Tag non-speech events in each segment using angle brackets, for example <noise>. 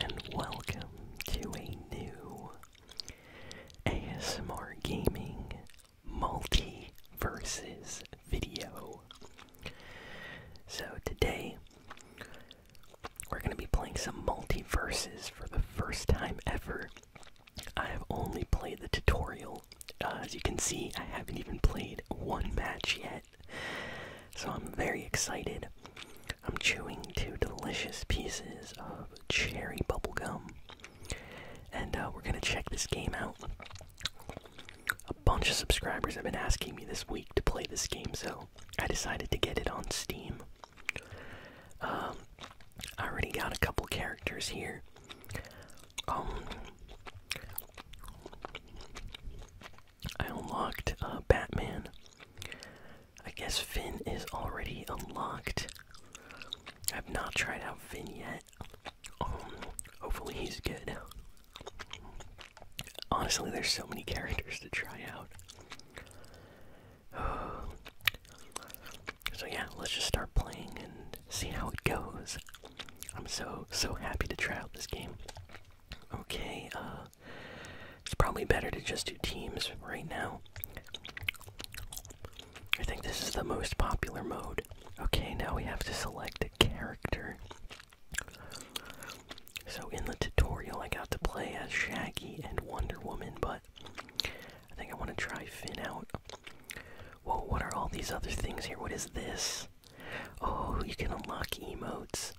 and welcome to a new ASMR Gaming Multi Versus video. So today we're going to be playing some multiverses for the first time ever. I have only played the tutorial. Uh, as you can see, I haven't even played one match yet. So I'm very excited. I'm chewing two delicious pieces of cherry bubblegum. And uh, we're gonna check this game out. A bunch of subscribers have been asking me this week to play this game, so I decided to get it on Steam. Um, I already got a couple characters here. Um, I unlocked uh, Batman. I guess Finn is already unlocked. I've not tried out Finn yet. Um, hopefully he's good. Honestly, there's so many characters to try out. <sighs> So yeah, let's just start playing and see how it goes. I'm so so happy to try out this game. Okay, uh it's probably better to just do teams right now. I think this is the most popular mode. Okay, now we have to select a character. So, in the tutorial, I got to play as Shaggy and Wonder Woman, but I think I want to try Finn out. Whoa, what are all these other things here? What is this? Oh, you can unlock emotes.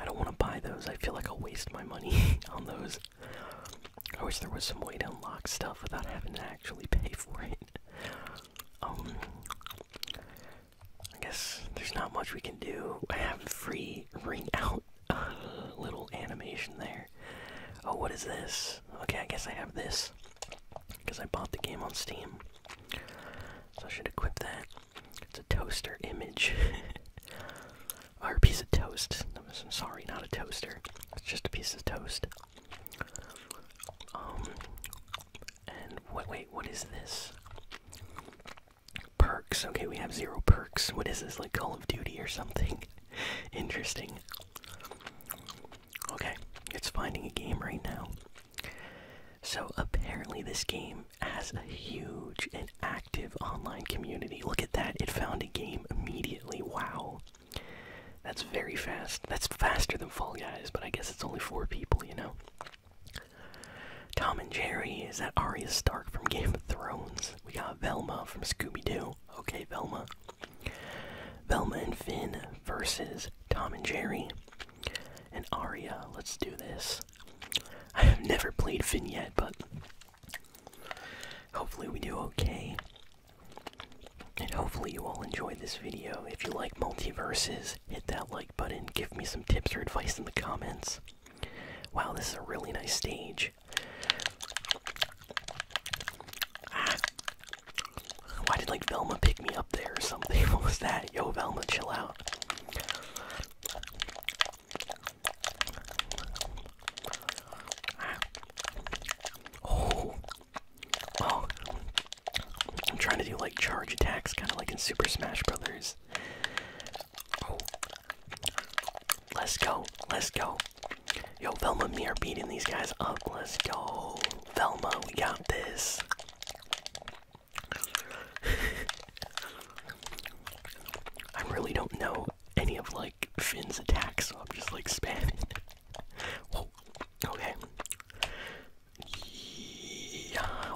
I don't want to buy those. I feel like I'll waste my money <laughs> on those. I wish there was some way to unlock stuff without having to actually pay for it. Um, I guess there's not much we can do. I have free ring out little animation there. Oh, what is this? Okay, I guess I have this because I bought the game on Steam. So I should equip that. It's a toaster image. <laughs> a piece of toast. I'm sorry, not a toaster. It's just a piece of toast. Um, and what, wait, what is this? Perks. Okay, we have zero perks. What is this, like Call of Duty or something? <laughs> Interesting. Okay, it's finding a game right now. So apparently, this game has a huge, active online community. Look at that, it found a game immediately. Wow. That's very fast. That's faster than Fall Guys, but I guess it's only four people, you know? Tom and Jerry, is that Arya Stark from Game of Thrones? We got Velma from Scooby Doo. Okay, Velma. Velma and Finn versus Tom and Jerry. And Arya, let's do this. I have never played Finn yet, but Hopefully, we do okay. And hopefully, you all enjoyed this video. If you like multiverses, hit that like button, give me some tips or advice in the comments. Wow, this is a really nice stage. Ah. Why did like Velma pick me up there or something? <laughs> What was that? Yo, Velma, chill out. Oh. Oh. I'm trying to do like charge attacks, kind of like in Super Smash Brothers. Oh. Let's go. Let's go. Yo, Velma and me are beating these guys up. Let's go. Velma, we got this. <laughs> I really don't know any of like Finn's attacks, so I'm just like spamming. Okay.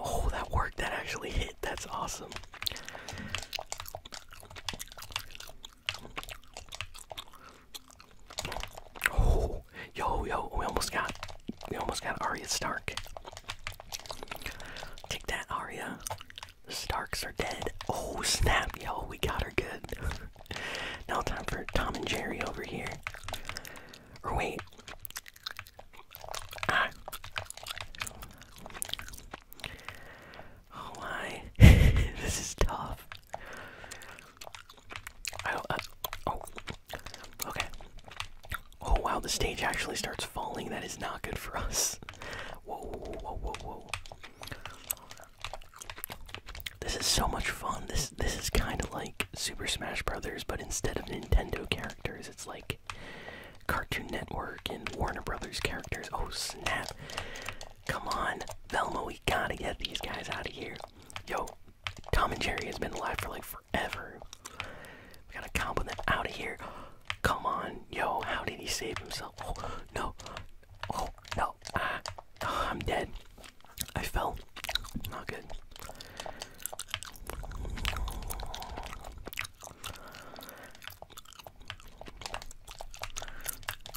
Oh, that worked. That actually hit. That's awesome. Oh, yo, yo, we almost got, we almost got Arya Stark. Take that, Arya. Starks are dead. Oh snap, yo, we got her good. now time for Tom and Jerry over here. Or wait. Ah. Oh my, <laughs> this is tough. I, uh, oh, okay. Oh wow, the stage actually starts falling. That is not good for us. Whoa, whoa, whoa, whoa. This is so much fun. This this is kind of like Super Smash Brothers, but instead of Nintendo characters, it's like Cartoon Network and Warner Brothers characters. Oh snap! Come on, Velma, we gotta get these guys out of here. Yo, Tom and Jerry has been alive for like forever. We gotta combo them out of here. Come on, yo, how did he save himself? Oh, no, Oh no! Ah, I'm dead. I fell. Not good.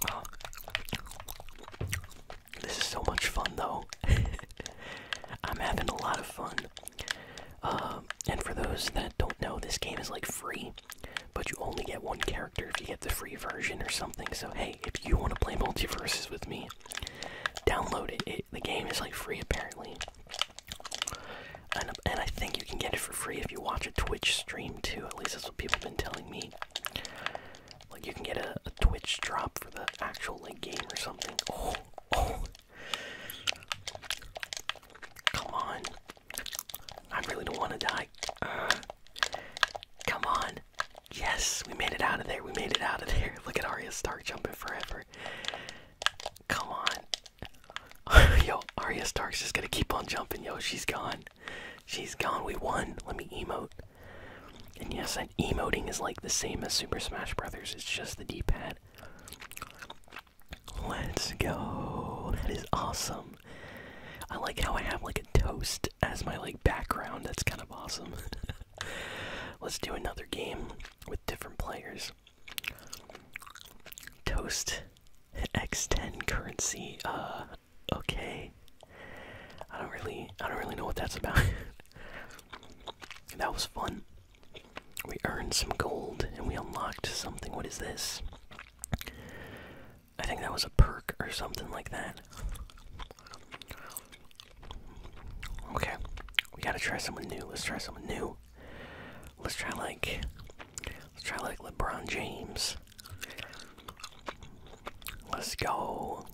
Ah. This is so much fun, though. <laughs> I'm having a lot of fun. Um, and for those that don't know, this game is like free. But you only get one character if you get the free version or something. So hey, if you want to play multiverses with me, download it. the game is like free apparently, and and I think you can get it for free if you watch a Twitch stream too. At least that's what people have been telling me. Like you can get a, Twitch drop for the actual game or something. oh. oh. Come on, I really don't want to die. Uh, come on. Yes, we made it out of there. We made it out of there. <laughs> Look at Arya Stark jumping forever. Come on. <laughs> yo, Arya Stark's just gonna keep on jumping. Yo, she's gone. She's gone. We won. Let me emote. And yes, that emoting is like the same as Super Smash Brothers. It's just the D-pad. Let's go. That is awesome. I like how I have like a toast as my like background. That's kind of awesome. <laughs> Let's do another game with different players. Toast X10 currency. Uh okay. I don't really I don't really know what that's about. <laughs> that was fun. We earned some gold and we unlocked something. What is this? I think that was a perk or something like that. Okay, we gotta try someone new. Let's try someone new. Let's try like, let's try like LeBron James. Let's go.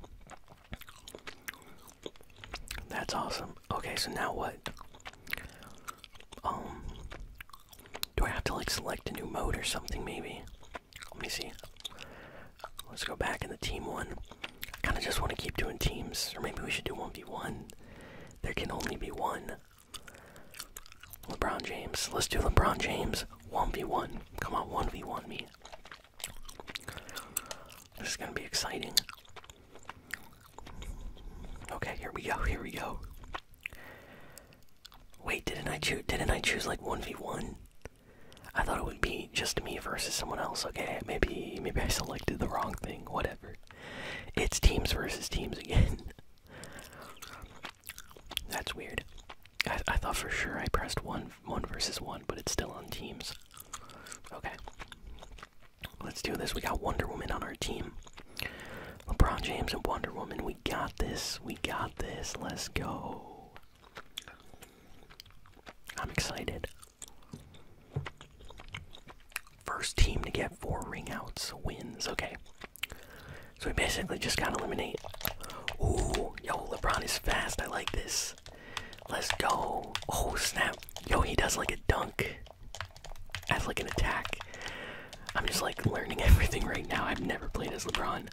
That's awesome. Okay, so now what? Um, do I have to like select a new mode or something maybe? Let me see. Let's go back in the team one. I kind of just want to keep doing teams, or maybe we should do 1v1. There can only be one. LeBron James. Let's do LeBron James 1v1. Come on, 1v1 me. This is going to be exciting. Okay, here we go, here we go. Wait, didn't I choose? Didn't I choose like one v one? I thought it would be just me versus someone else. Okay, maybe maybe I selected the wrong thing. Whatever. It's teams versus teams again. <laughs> That's weird. I, thought for sure I pressed one one versus one, but it's still on teams. Okay. Let's do this. We got Wonder Woman on our team. LeBron James and Wonder Woman. We we got this. We got this. Let's go. I'm excited. First team to get four ring outs wins. Okay. So we basically just gotta eliminate. Ooh, yo, LeBron is fast. I like this. Let's go. Oh, snap. Yo, he does like a dunk That's like an attack. I'm just like learning <laughs> everything right now. I've never played as LeBron.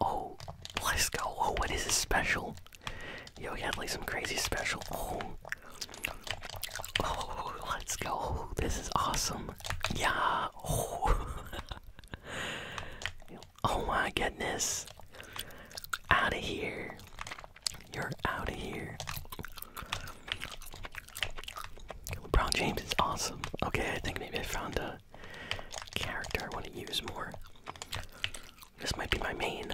Oh, let's go. Oh, what is this special? Yo, we got like some crazy special. Oh. Oh, <laughs> let's go. This is awesome. Yeah. Oh. <laughs> oh my goodness. Out of here. You're out of here. LeBron James is awesome. Okay, I think maybe I found a character I want to use more. This might be my main.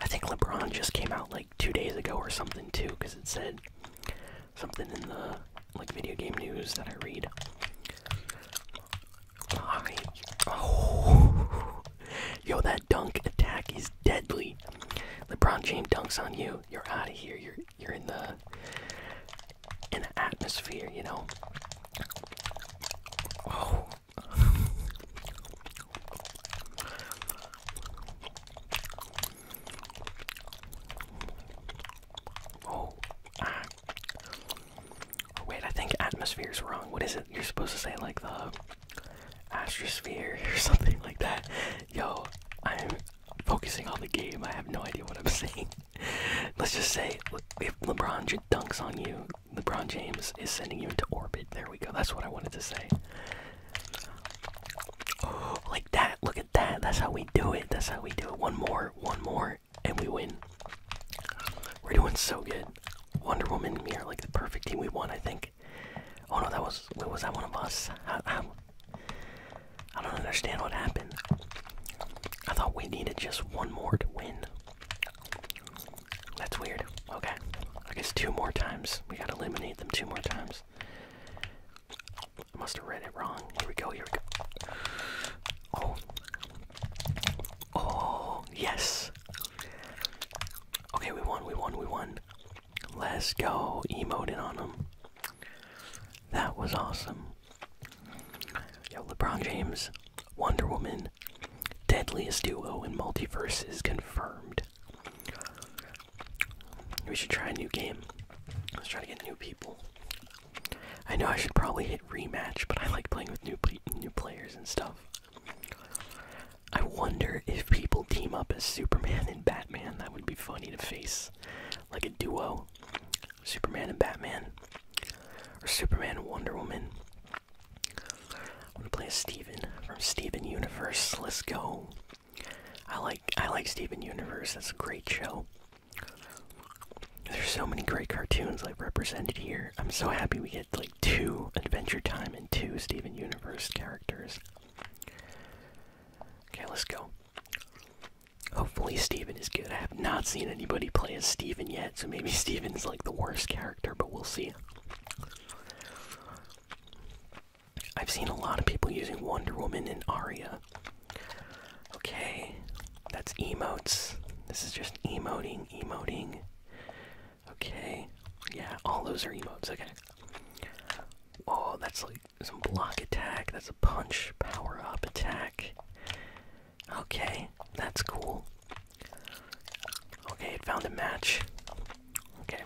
I think LeBron just came out like two days ago or something too, because it said something in the like video game news that I read. Oh. <laughs> yo, that dunk attack is deadly. LeBron James dunks on you. You're out of here. You're you're in the in atmosphere, you know. Oh. oh ah. Wait, I think atmosphere's wrong. What is it? You're supposed to say like the astrosphere <laughs> or something like that. Yo, I'm focusing on the game. I have no idea what I'm saying. Let's just say if LeBron dunks on you, LeBron James is sending you into orbit. There we go. That's what I wanted to say. <gasps> like that. Look at that. That's how we do it. That's how we do it. One more. One more. And we win. We're doing so good. Wonder Woman We are like the perfect team we won. I think. Oh no, that was. was that one of us? I don't understand what happened. I thought we needed just one more to win. That's weird. Okay. I guess two more times. We gotta eliminate them two more times. I must have read it wrong. Here we go, here we go. Oh. Oh, yes. Okay, we won, we won, we won. Let's go. Emoting on them. That was awesome. Yo, LeBron James, Wonder Woman, deadliest duo in multiverse is confirmed. We should try a new game. Let's try to get new people. I know I should probably hit rematch, but I like playing with new new players and stuff. I wonder if people team up as Superman and Batman. That would be funny to face like a duo Superman and Batman, or Superman and Wonder Woman. I'm gonna play Steven from Steven Universe. Let's go. I like I like Steven Universe. That's a great show. There's so many great cartoons like represented here. I'm so happy we get like two Adventure Time and two Steven Universe characters. Okay, let's go. Hopefully Steven is good. I have not seen anybody play as Steven yet, so maybe <laughs> Steven's like the worst character, but we'll see. I've seen a lot of people using Wonder Woman and Aria. Okay, that's emotes. This is just emoting, emoting. Okay, yeah, all those are emotes, okay. Oh, that's like some block attack, that's a punch, power up attack. Okay, that's cool. Okay, it found a match. Okay.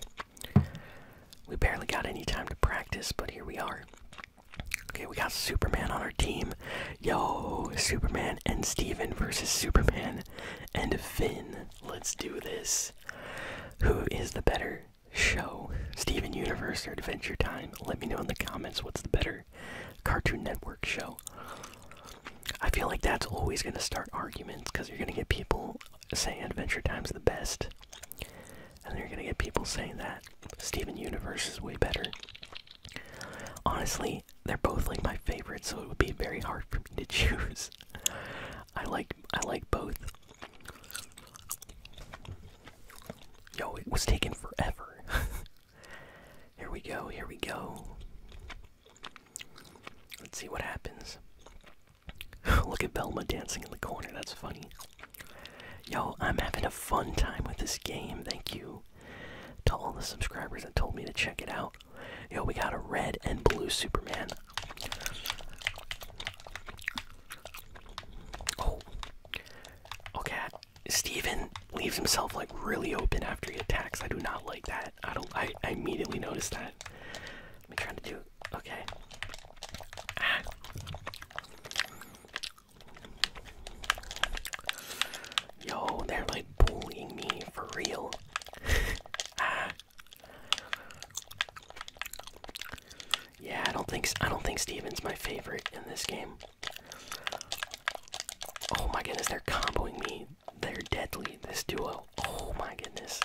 We barely got any time to practice, but here we are. Okay, we got Superman on our team. Yo, Superman and Steven versus Superman and Finn. Let's do this. Who is the better show? Steven Universe or Adventure Time? Let me know in the comments what's the better Cartoon Network show. I feel like that's always going to start arguments because you're going to get people saying Adventure Time's the best, and you're going to get people saying that Steven Universe is way better. Honestly, they're both like my favorite, so it would be very hard for me to <laughs> choose. I like I like both. Yo, it was taken forever. <laughs> Here we go, here we go. Let's see what happens. <laughs> Look at Belma dancing in the corner, that's funny. Yo, I'm having a fun time with this game. Thank you to all the subscribers that told me to check it out. Yo, we got a red and blue Superman. Oh. Okay, Steven leaves himself like really open after he attacks. I do not like that. I don't I, immediately notice that. I'm trying to do okay. Ah. Yo, they're like bullying me for real. <laughs> Ah. Yeah, I don't think I don't think Steven's my favorite in this game. Oh my goodness, they're comboing me. They're deadly, this duo. Oh my goodness.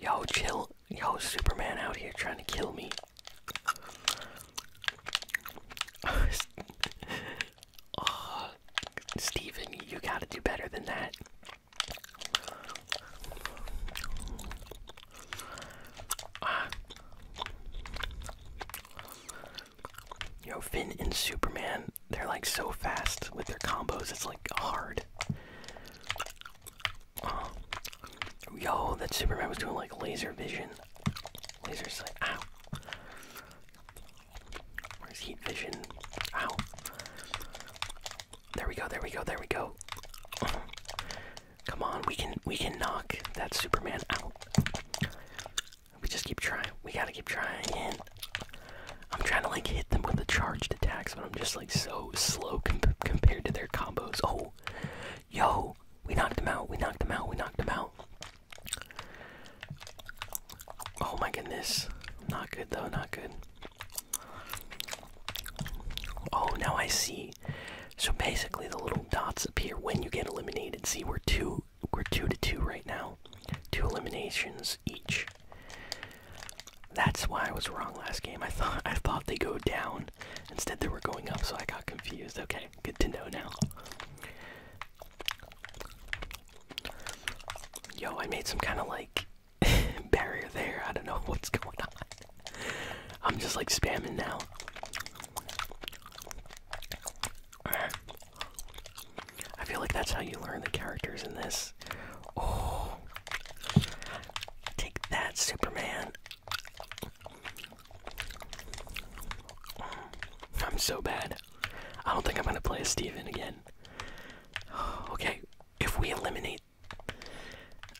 Yo, chill. Yo, Superman out here trying to kill me. <laughs> oh, you gotta do better than that. Ah. Yo, Finn and Superman, they're like so fast with their combos, it's like hard. Yo, that Superman was doing like laser vision. Laser sight. Ow. Where's heat vision? Ow. There we go, there we go, there we go. Come on, we can we can knock that Superman out. We just keep trying. We gotta keep trying. And I'm trying to like hit them with the charged attacks, but I'm just like so slow compared to their combos. Oh, yo, we knocked them out. We knocked them out. We knocked them out. Oh my goodness. Not good though. Not good. Oh, now I see. So basically, the little dots appear when you get eliminated. See, we're two we're two to two right now, two eliminations each. That's why I was wrong last game. I thought I thought they go down. Instead, they were going up, so I got confused. Okay, good to know now. Yo, I made some kind of like <laughs> barrier there. I don't know <laughs> what's going on. I'm just like spamming now. I feel like that's how you learn the characters in this. Oh. Take that, Superman. I'm so bad. I don't think I'm gonna play as Steven again. <sighs> Okay, if we eliminate.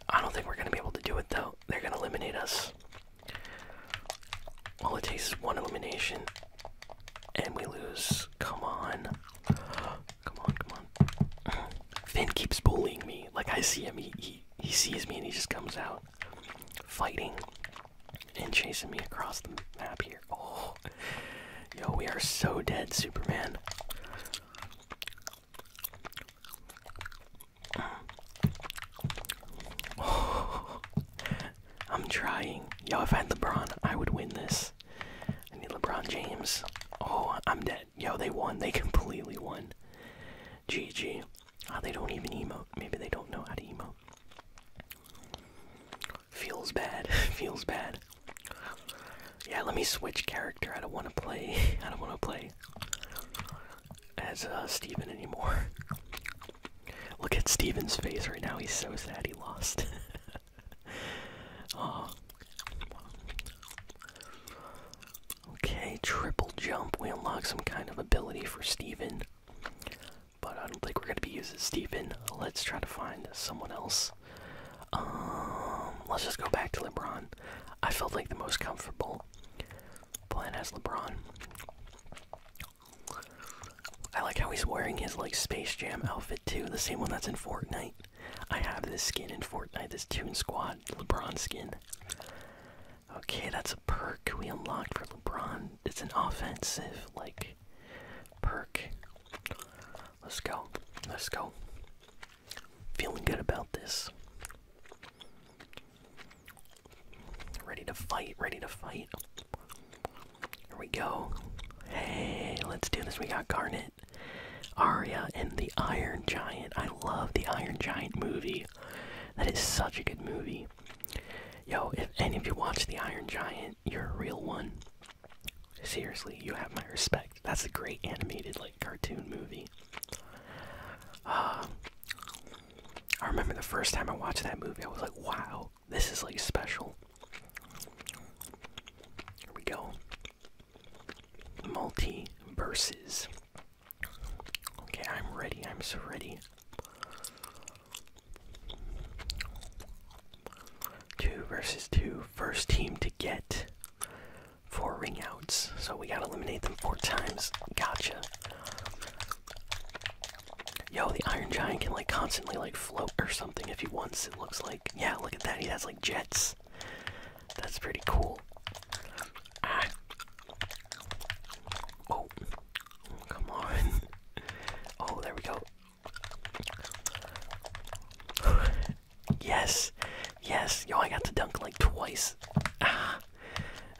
I don't think we're gonna be able to do it though. They're gonna eliminate us. All it takes is one elimination, and we lose. Come on, come on, come on. <clears throat> Finn keeps bullying me. Like I see him, he he, sees me, and he just comes out fighting and chasing me across the map here. Oh, yo, we are so dead, Superman. <clears throat> Oh. I'm trying. Yo, if I had LeBron, I would win this. I need LeBron James. Oh, I'm dead. Yo, they won. They <laughs> completely won. GG. Ah, they don't even emote. Maybe they don't know how to emote. Feels bad. <laughs> Feels bad. Yeah, let me switch character. I don't want to play. <laughs> I don't want to play as uh, Steven anymore. Look at Stephen's face right now. He's so sad he lost. <laughs> Okay, triple jump. We unlock some kind of ability for Stephen, But I don't think we're going to be using Stephen. Let's try to find someone else. Um, let's just go back to LeBron. I felt like the most comfortable plan as LeBron. I like how he's wearing his like Space Jam outfit too, the same one that's in Fortnite. I have this skin in Fortnite, this Tune Squad LeBron skin. Okay, that's a perk we unlocked for LeBron. It's an offensive like perk. Let's go. Let's go. Feeling good about this. Ready to fight, ready to fight. Here we go. Hey, let's do this. We got Garnet, Arya, and the Iron Giant. I love the Iron Giant movie. That is such a good movie. Yo, if any of you watch the Iron Giant, you're a real one. Seriously, you have my respect. That's a great animated, like, cartoon movie. Uh, I remember the first time I watched that movie, I was like, wow, this is like special. Here we go. Multi verses. Okay, I'm ready. I'm so ready. Two versus two. First team to get four ring outs. So we gotta eliminate them four times. Gotcha. Yo, the Iron Giant can like constantly like float or something if he wants. It looks like yeah. Look at that. He has like jets. That's pretty cool. Oh, come on. <laughs> Oh, there we go. <laughs> yes, yes. Yo, I got to dunk like twice. Ah,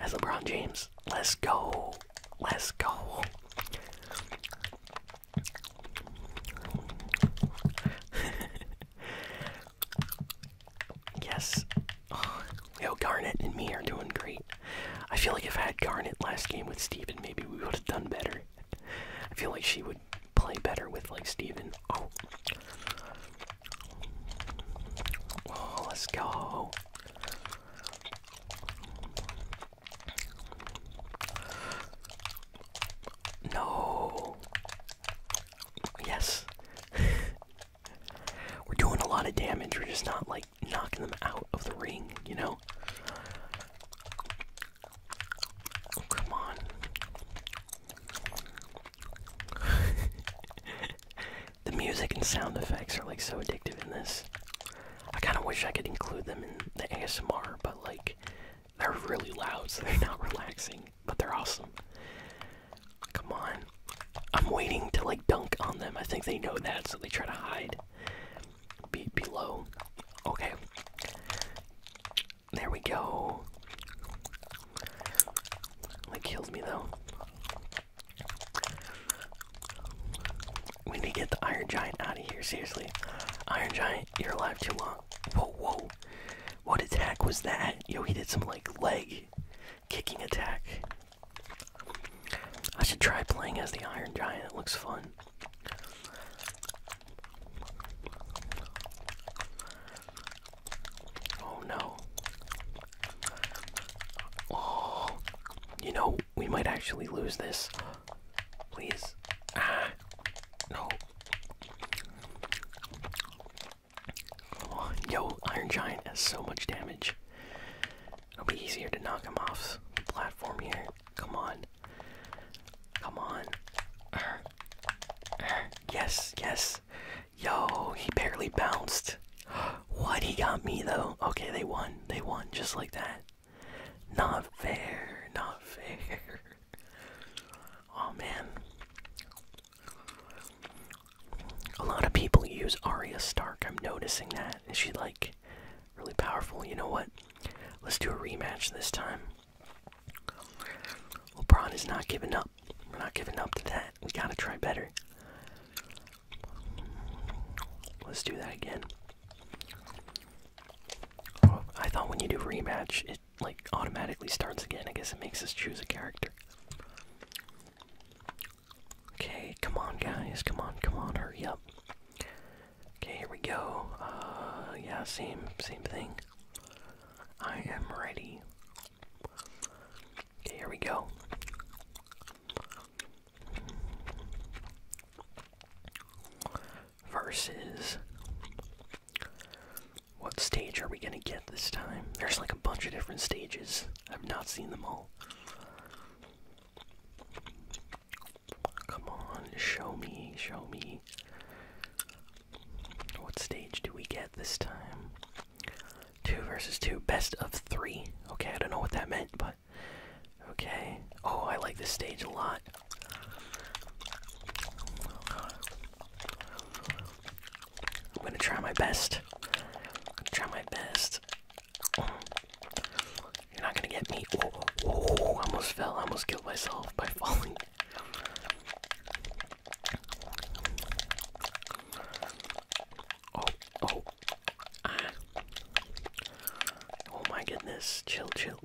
as LeBron James. Let's go. Let's go. <laughs> yes. Oh, yo, Garnet and me are doing great. I feel like if I had Garnet last game with Steven, maybe we would have done better. I feel like she would play better with, like, Steven. Oh, oh let's go. No. Yes. <laughs> We're doing a lot of damage. We're just not like knocking them out of the ring, you know? Oh, come on. <laughs> the music and sound effects are like so addictive in this. I kind of wish I could include them in the ASMR, but like they're really loud, so they're <laughs> not relaxing, but they're awesome. Come on. I'm waiting to like dunk on them. I think they know that, so they try to hide be below. Okay. There we go. They kills me though. We need to get the Iron Giant out of here, seriously. Iron Giant, you're alive too long. Whoa, whoa. What attack was that? Yo, he did some, like, leg kicking attack. I should try playing as the Iron Giant, it looks fun. Oh no. Oh, you know, we might actually lose this. Please. Ah. No. Oh, yo, Iron Giant has so much damage. It'll be easier to knock him off the platform here. Come on. Come on. Ah. Yes, yes. Yo, he barely bounced. <gasps> What? He got me though. Okay, they won. They won just like that. Not fair, not fair. <laughs> oh man. A lot of people use Arya Stark. I'm noticing that. Is she like really powerful? You know what? Let's do a rematch this time. LeBron is not giving up. We're not giving up to that. We gotta try better. Let's do that again. I thought when you do rematch, it like automatically starts again. I guess it makes us choose a character. Okay, come on, guys. Come on, come on. Hurry up. Okay, here we go. Uh, yeah, same, same thing. I am ready. Okay, here we go. Versus. What stage are we gonna get this time? There's like a bunch of different stages. I've not seen them all. Come on, show me, show me. What stage do we get this time? Two versus two, best of three. Okay, I don't know what that meant, but shot. Okay. Oh, I like this stage a lot. I'm gonna try my best. Try my best. You're not gonna get me. Oh, oh, oh almost fell. I almost killed myself by falling. Oh, oh, Oh my goodness, chill, chill.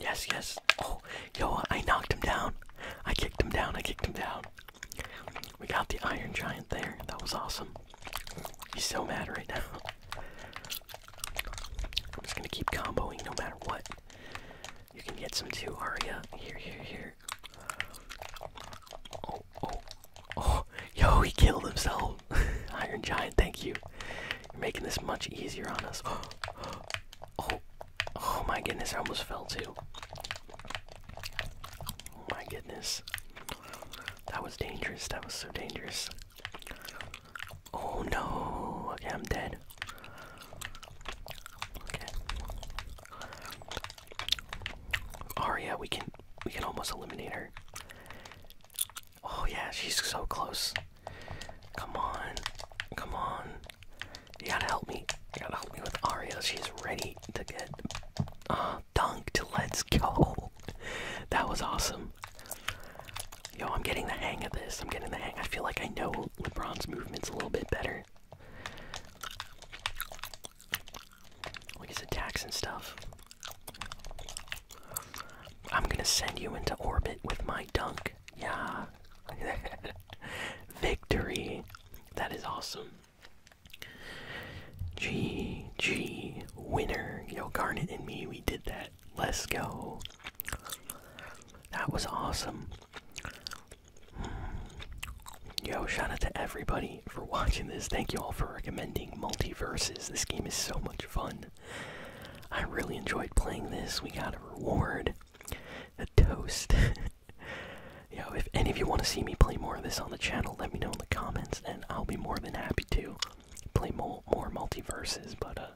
Yes, yes. Oh, yo, I knocked him down. I kicked him down, I kicked him down. We got the Iron Giant there. That was awesome. He's so mad right now. I'm just gonna keep comboing no matter what. You can get some too, Aria. Here, here, here. Oh, oh, Oh, yo, he killed himself. <laughs> Iron Giant, thank you. You're making this much easier on us. <gasps> Oh, oh my goodness, I almost fell too. Oh my goodness. That was dangerous. That was so dangerous. Oh no. Okay, I'm dead. Okay. Aria, we can we can almost eliminate her. Oh yeah, she's so close. Come on. Come on. You gotta help me. You gotta help me with Aria. She's ready to get uh, dunked. Let's go. That was awesome. Yo, I'm getting the hang of this. I'm getting the hang. I feel like I know LeBron's movements a little bit better. Like his attacks and stuff. I'm gonna send you into orbit with my dunk. Yeah. <laughs> Victory. That is awesome. GG winner. Yo, Garnet and me, we did that. Let's go. That was awesome. Mm. Yo, shout out to everybody for watching this. Thank you all for recommending Multiverses. This game is so much fun. I really enjoyed playing this. We got a reward, a toast. <laughs> Yeah, if any of you want to see me play more of this on the channel, let me know in the comments, and I'll be more than happy to play more, more multiverses. But, uh,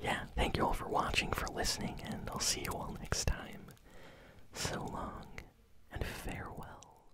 yeah, thank you all for watching, for listening, and I'll see you all next time. So long, and farewell.